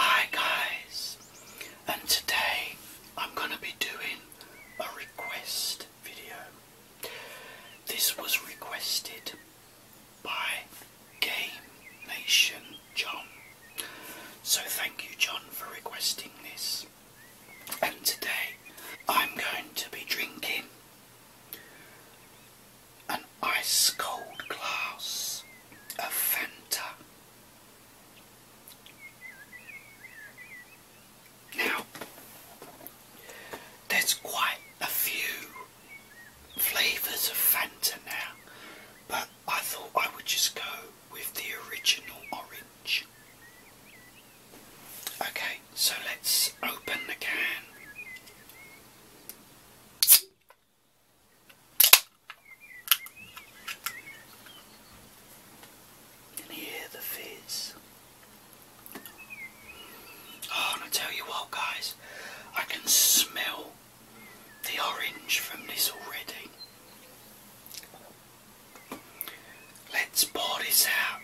Hi guys, and today I'm going to be doing a request video. This was requested by Game Nation John. So thank you John for requesting this and today I'm going to be drinking an ice cold glass of Fanta. Now, there's quite a few flavours of Fanta now, but I thought I would just go with the original orange. Okay, so let's open the can. hear the fizz? Oh, and I tell you what, guys, I can smell the orange from this already. Let's pour this out.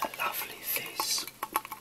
A lovely face.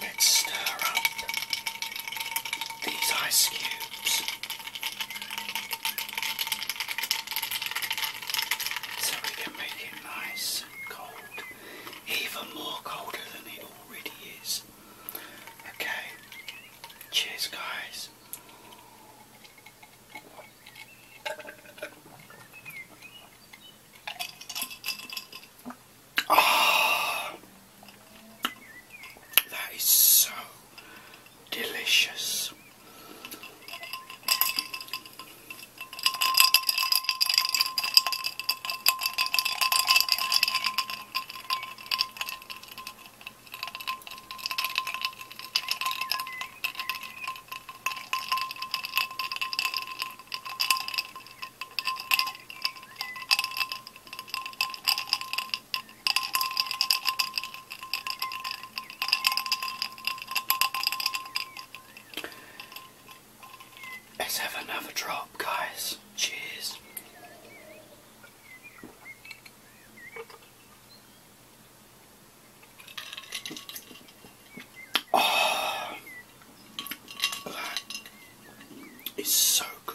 Let's stir up these ice cubes so we can make it nice and cold, even more colder than it already is. Okay, cheers, guys. Oh, that is so delicious. Let's have another drop, guys. Cheers. Oh, ah, that is so good.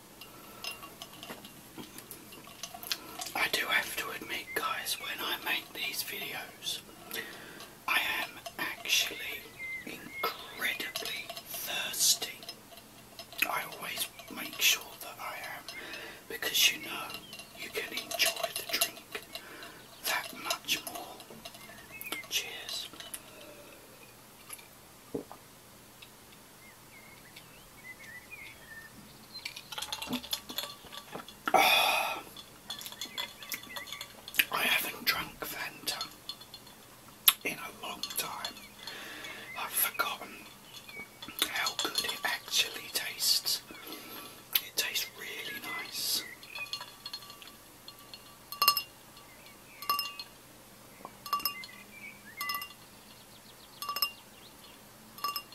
I do have to admit, guys, when I make these videos, I am actually incredibly thirsty. I always make sure that I am because you know you can enjoy the drink that much more. Cheers. I haven't drunk Fanta in a long time. I've forgotten how good it actually tastes. It tastes really nice.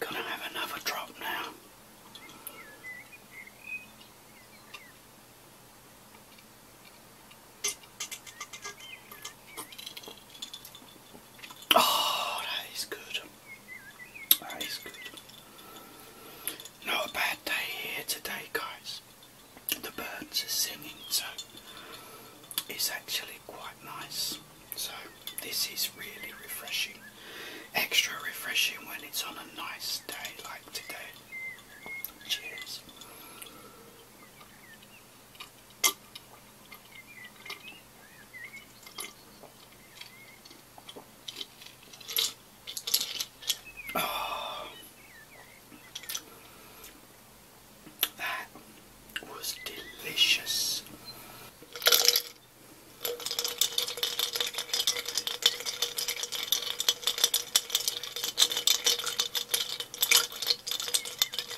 Gonna have another drop now. Oh, that is good. That is good. Not a bad day here today, guys. The birds are singing, so it's actually quite nice. So, this is really refreshing. Extra refreshing when it's on a nice day like today. Cheers. Oh. That was delicious.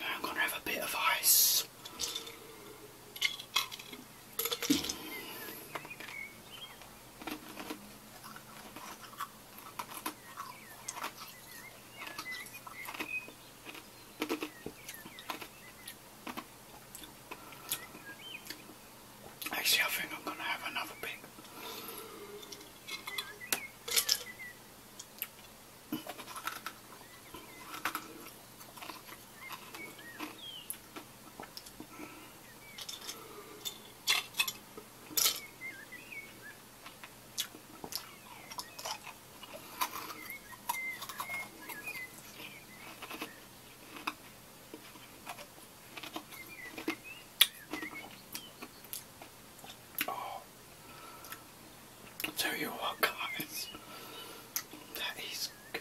Now I'm going to have a bit of ice. Actually, I think I'm going to have another bit. Oh, tell you what, guys, that is good.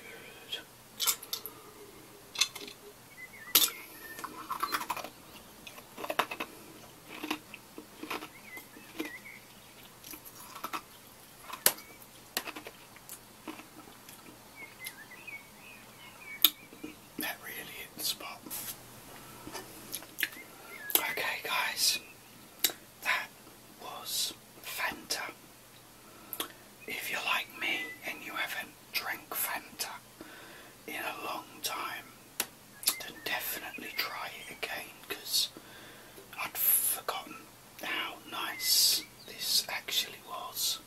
That really hit the spot. Okay, guys, that was Fanta. If you're like me and you haven't drank Fanta in a long time, then definitely try it again because I'd forgotten how nice this actually was.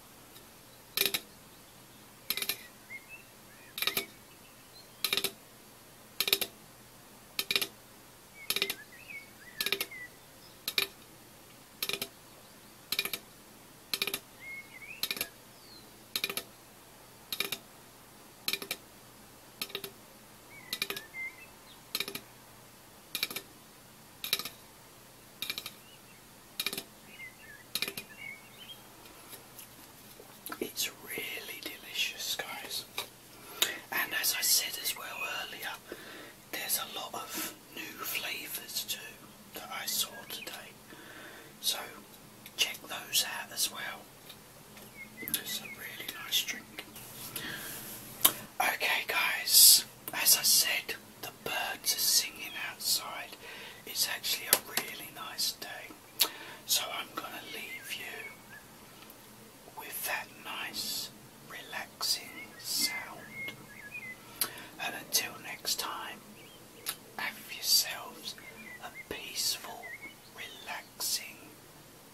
It's really delicious, guys. And as I said as well earlier, there's a lot of new flavours too that I saw today. So check those out as well. It's a really nice drink. Okay guys, as I said, the birds are singing outside. It's actually a really nice day. So I'm going to leave you with that nice relaxing sound. And until next time, have yourselves a peaceful, relaxing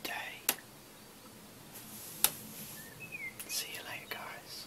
day. See you later, guys.